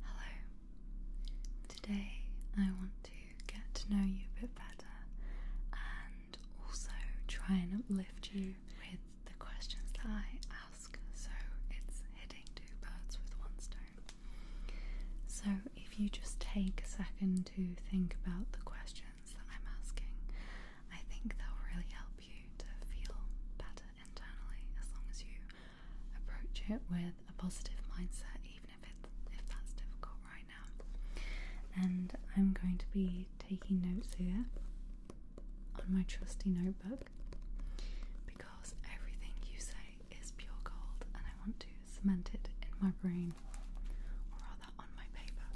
Hello. Today I want to get to know you a bit better and also try and uplift you with the questions that I ask so it's hitting two birds with one stone. So if you just take a second to think about the questions that I'm asking, I think they'll really help you to feel better internally as long as you approach it with a positive mindset, even if it's if that's difficult right now. And I'm going to be taking notes here on my trusty notebook because everything you say is pure gold, and I want to cement it in my brain, or rather on my paper.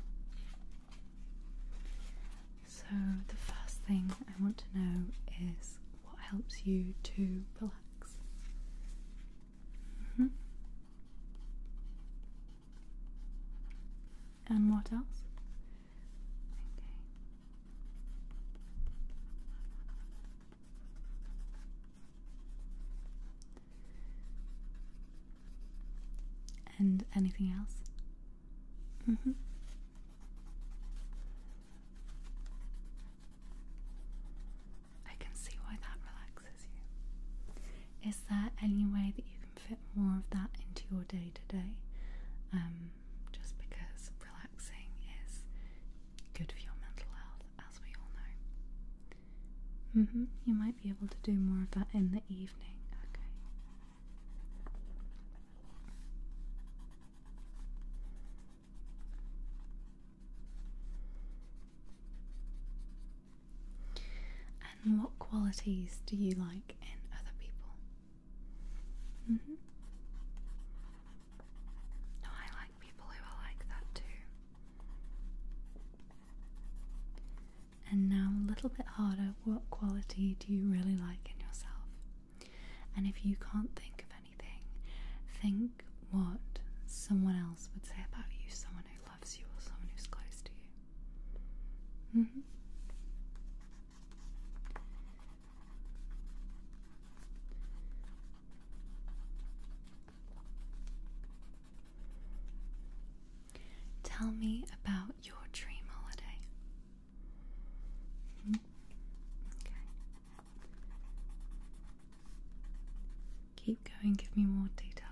So, the first thing I want to know is what helps you to relax? Mm-hmm. And what else? Okay. And anything else? Mm-hmm. I can see why that relaxes you. Is there any way that you can fit more of that into your day to day? just because relaxing is good for your mental health, as we all know. Mm-hmm. You might be able to do more of that in the evening. Okay. And what qualities do you like in other people? Mm-hmm. No, I like people who are like that too. And now a little bit harder, what quality do you really like in yourself? And if you can't think of anything, think what someone else would say about you someone who loves you or someone who's close to you. Mm-hmm. Tell me about your dream holiday. Keep going, give me more details.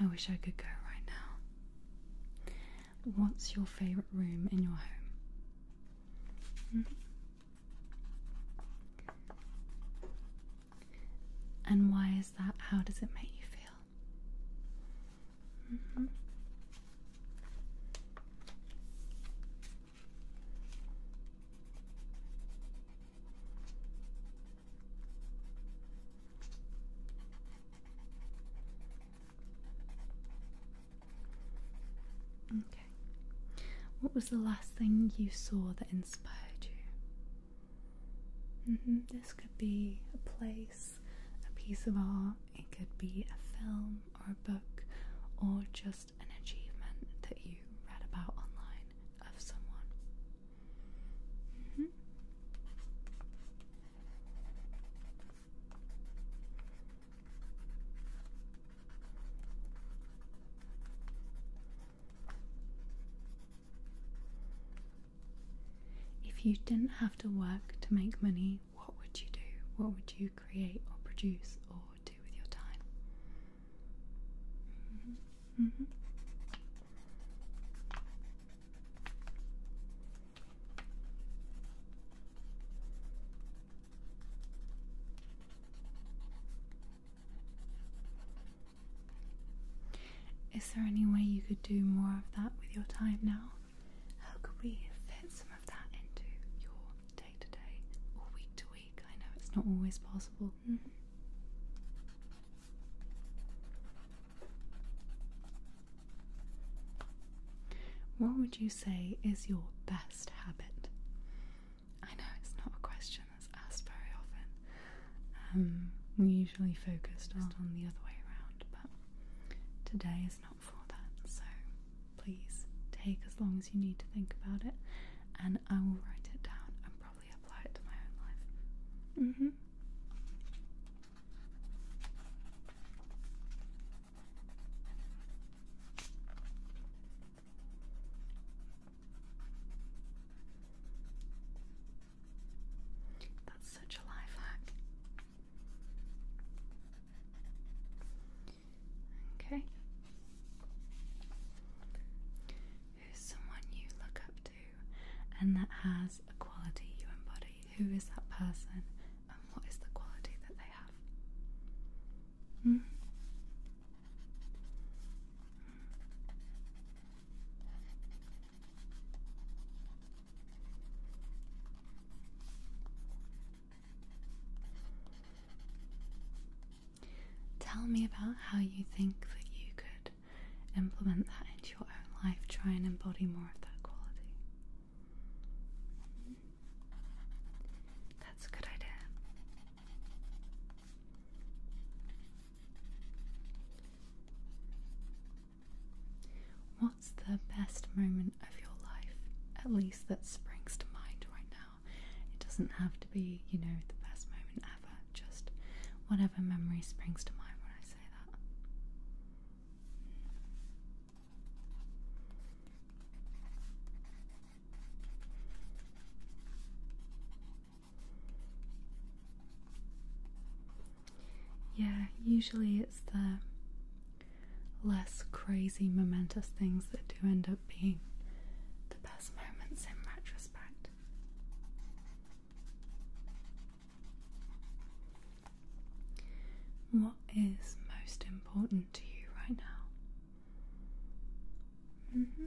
I wish I could go right now. What's your favourite room in your home? Hmm. And why is that? How does it make you feel? Hmm. Okay. What was the last thing you saw that inspired you? Mm-hmm. This could be a place, a piece of art, it could be a film or a book, or just an achievement that you read about online of someone. Mm-hmm. If you didn't have to work to make money, what would you do? What would you create or produce or do with your time? Mm-hmm. Mm-hmm. Is there any way you could do more of that with your time now? How could we fit some of that into your day to day or week to week? I know it's not always possible. Mm-hmm. What would you say is your best habit? I know it's not a question that's asked very often. Um, we usually focus just on the other way around, but today is not for that. So please take as long as you need to think about it, and I will write it down and probably apply it to my own life. hmm. That's such a life hack. Okay. Who's someone you look up and that has a quality you embody. Who is that person and what is the quality that they have? Hmm? Tell me about how you think that you could implement that into your own life. Try and embody more of that quality. That's a good idea. What's the best moment of your life? At least that springs to mind right now. It doesn't have to be, you know, the best moment ever, just whatever memory springs to mind when I say. Yeah, usually it's the less crazy, momentous things that do end up being the best moments in retrospect. What is most important to you right now? Mm-hmm.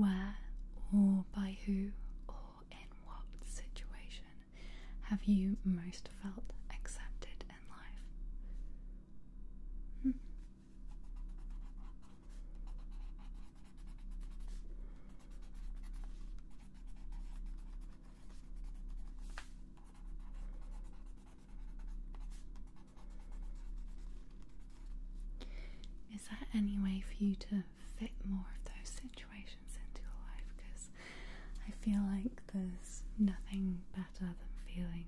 Where or by who or in what situation have you most felt accepted in life? Hmm. Is there any way for you to fit more of those situations into your life? Because I feel like there's nothing than feeling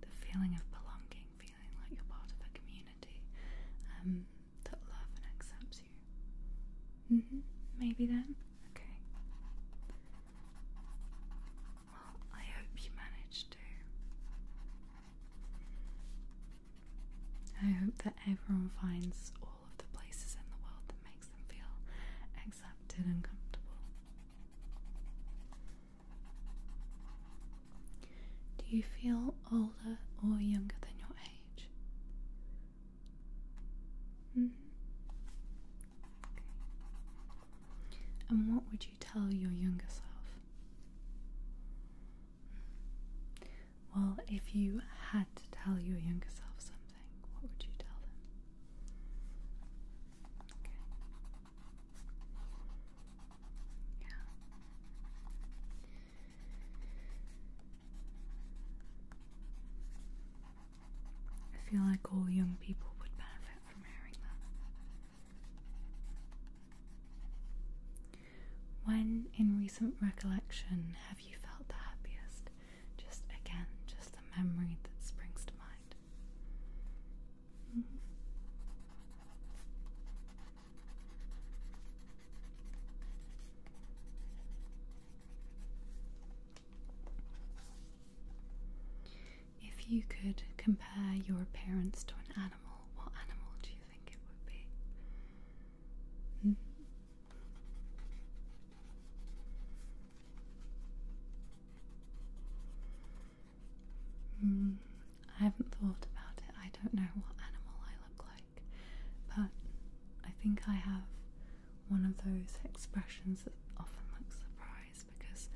the feeling of belonging, feeling like you're part of a community um, that love and accepts you. Mm-hmm. Maybe then? Okay. Well, I hope you manage to. I hope that everyone finds all of the places in the world that makes them feel accepted and comfortable. Do you feel older or younger than your age? Mm-hmm. And what would you tell your younger self? Well, if you had to tell your younger self something, what would you tell them? Okay. Yeah. I feel like all young people would benefit from hearing that. When, in recent recollection, have you felt the happiest? Just again, just a memory that springs to mind. Mm-hmm. If you could compare your appearance to an animal, what animal do you think it would be? Mm-hmm. Mm, I haven't thought about it. I don't know what animal I look like, but I think I have one of those expressions that often looks surprised because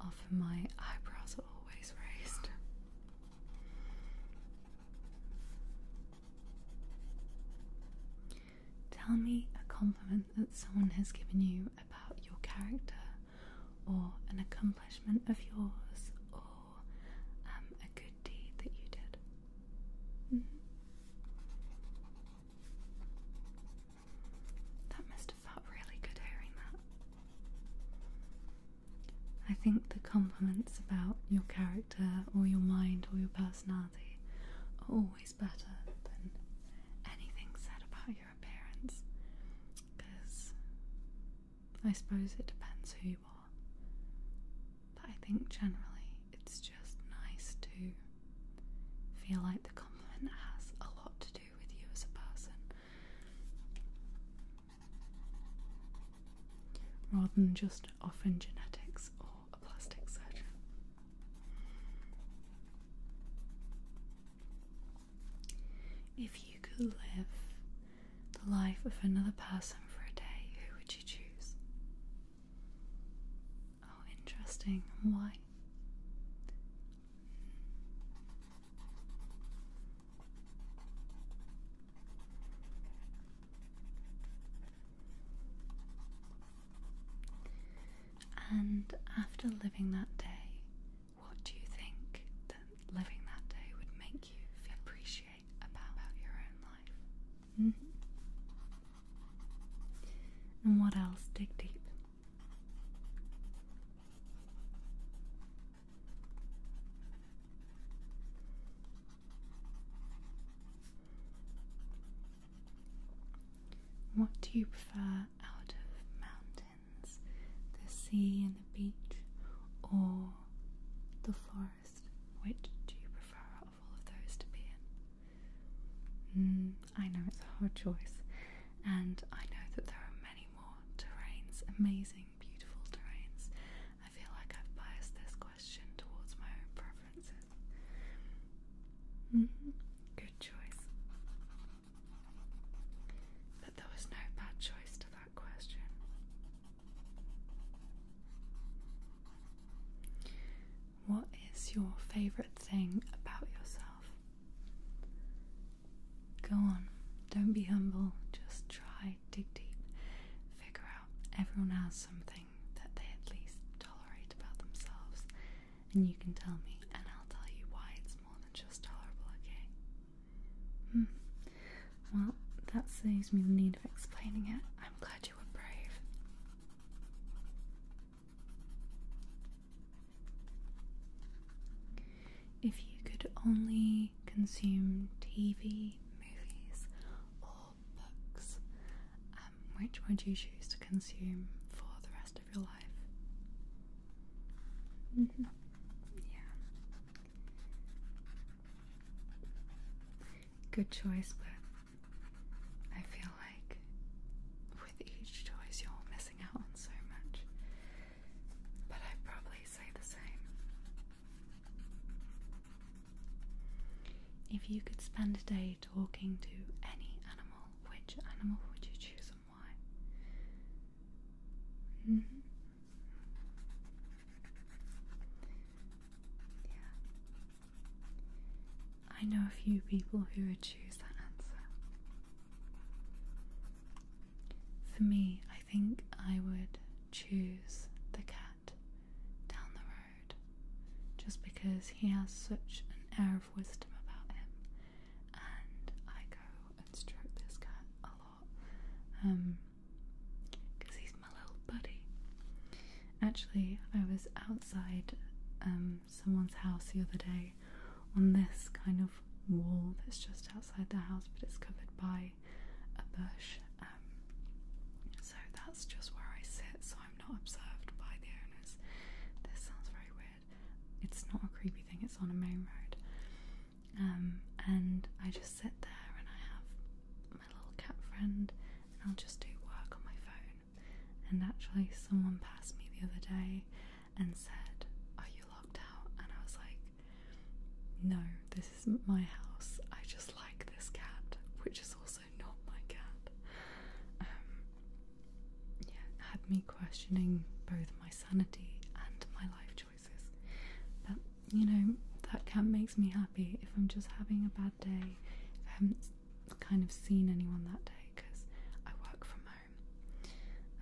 often my eyebrows are always raised. Tell me a compliment that someone has given you about your character, or an accomplishment of yours, or um, a good deed that you did. Mm-hmm. That must have felt really good hearing that. I think the compliments about your character or your mind or your personality are always better than anything said about your appearance because I suppose it depends who you are. But I think generally it's just nice to feel like the compliment has a lot to do with you as a person rather than just often genetics or if you could live the life of another person for a day, who would you choose? Oh, interesting. Why? And after living that day, what do you think that living that day would make you feel appreciate about, your own life? Hmm? And what else? Dig deep. What do you prefer out of mountains? The sea and the beach or the forest? Which do you prefer out of all of those to be in? Hmm, I know it's a hard choice, and I know that there are many more terrains, amazing, beautiful terrains. I feel like I've biased this question towards my own preferences. Hmm, good choice. But there was no bad choice to that question. What is your favourite thing about yourself? Go on, don't be humble, just try, dig deep, figure out. Everyone has something that they at least tolerate about themselves, and you can tell me, and I'll tell you why it's more than just tolerable, okay? Hmm. Well, that saves me the need of explaining it. I'm glad you were brave. If you could only consume TV, movies, or books, um, which would you choose to consume for the rest of your life? Mm-hmm. Yeah. Good choice, but I feel like with each choice you're missing out on so much. But I'd probably say the same. If you could spend a day talking to any animal, which animal would you choose and why? Mm-hmm. Yeah. I know a few people who would choose that answer. For me, I think I would choose the cat down the road just because he has such an air of wisdom about him. And I go and stroke this cat a lot because um, he's my little buddy. Actually, I was outside um, someone's house the other day on this kind of wall that's just outside the house, but it's covered by a bush. Um, so that's just where I sit, so I'm not observed by the owners. This sounds very weird. It's not a creepy thing, it's on a main road. Um, and I just sit there and I have my little cat friend, and I'll just do work on my phone. And actually, someone passed me the other day and said, Are you locked out? And I was like, no, this isn't my house. I just like this cat, which is also not my cat. Um, yeah, had me questioning both my sanity and my life choices. But you know, that cat makes me happy if I'm just having a bad day, if I haven't kind of seen anyone that day because I work from home.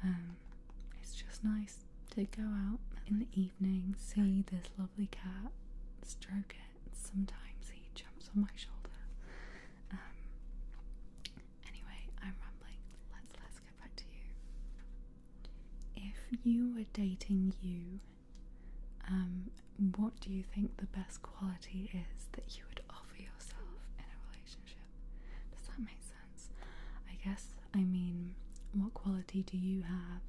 Um, it's just nice to go out in the evening see this lovely cat, stroke it. Sometimes he jumps on my shoulder. Um, anyway, I'm rambling. Let's let's get back to you. If you were dating you, um, what do you think the best quality is that you would offer yourself in a relationship? Does that make sense? I guess I mean, what quality do you have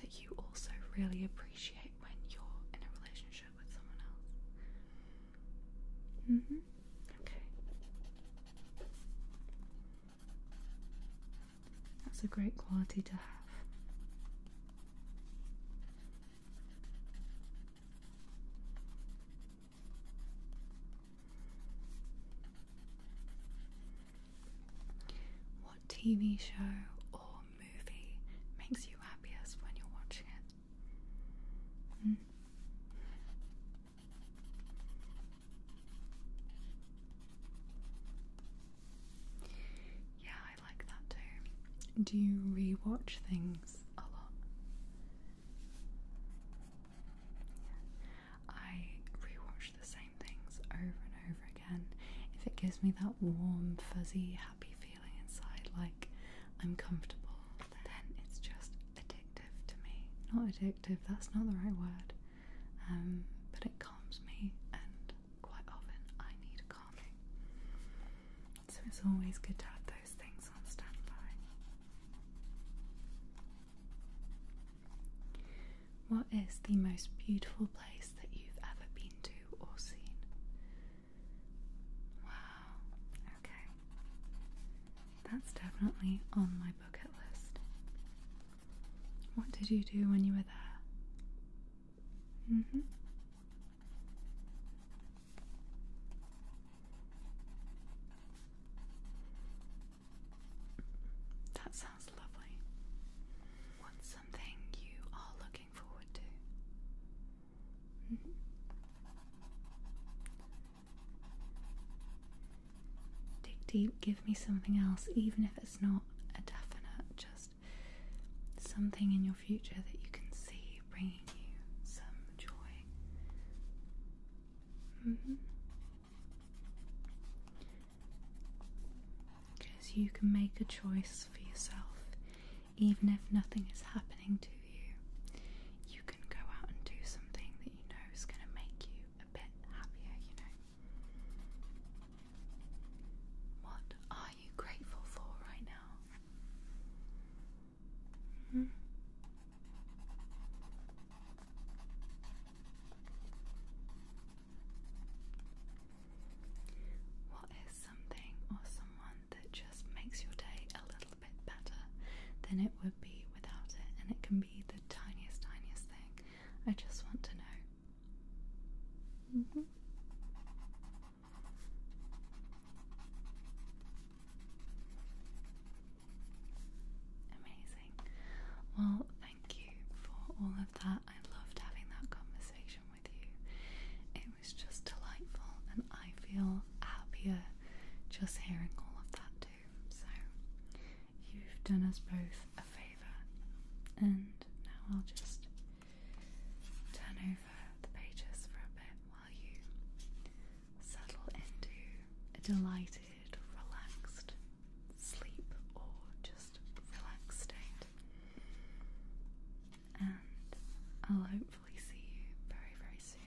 that you also really appreciate when you're in a relationship with someone else? hmm. Okay. That's a great quality to have. What TV show or movie makes you happiest when you're watching it? Hmm. Yeah, I like that too. Do you rewatch things a lot? I rewatch the same things over and over again. If it gives me that warm, fuzzy, happy feeling inside, like I'm comfortable, then it's just addictive to me. Not addictive, that's not the right word, um, but it calms me, and quite often I need calming. So it's always good to have those things on standby. What is the most beautiful place that you've ever been to or seen? Wow, okay. That's definitely on my bucket list. What did you do when you were there? hmm. That sounds lovely. What's something you are looking forward to? Dig deep, give me something else, even if it's not a definite, just something in your future that you can see bringing you some joy. Mm-hmm. Because you can make a choice for yourself, even if nothing is happening to you. You can go out and do something that you know is going to make you a bit happier, you know. What are you grateful for right now? Hmm? What is something or someone that just makes your day a little bit better than it would be without it? And it can be the tiniest, tiniest thing. I just want to know. Mm-hmm. Amazing. Well, thank you for all of that. I loved having that conversation with you. It was just delightful, and I feel happier just hearing all of that too. So, you've done us both a favour, and now I'll just turn over the pages for a bit while you settle into a delighted, relaxed sleep or just relaxed state. And I'll hopefully see you very, very soon.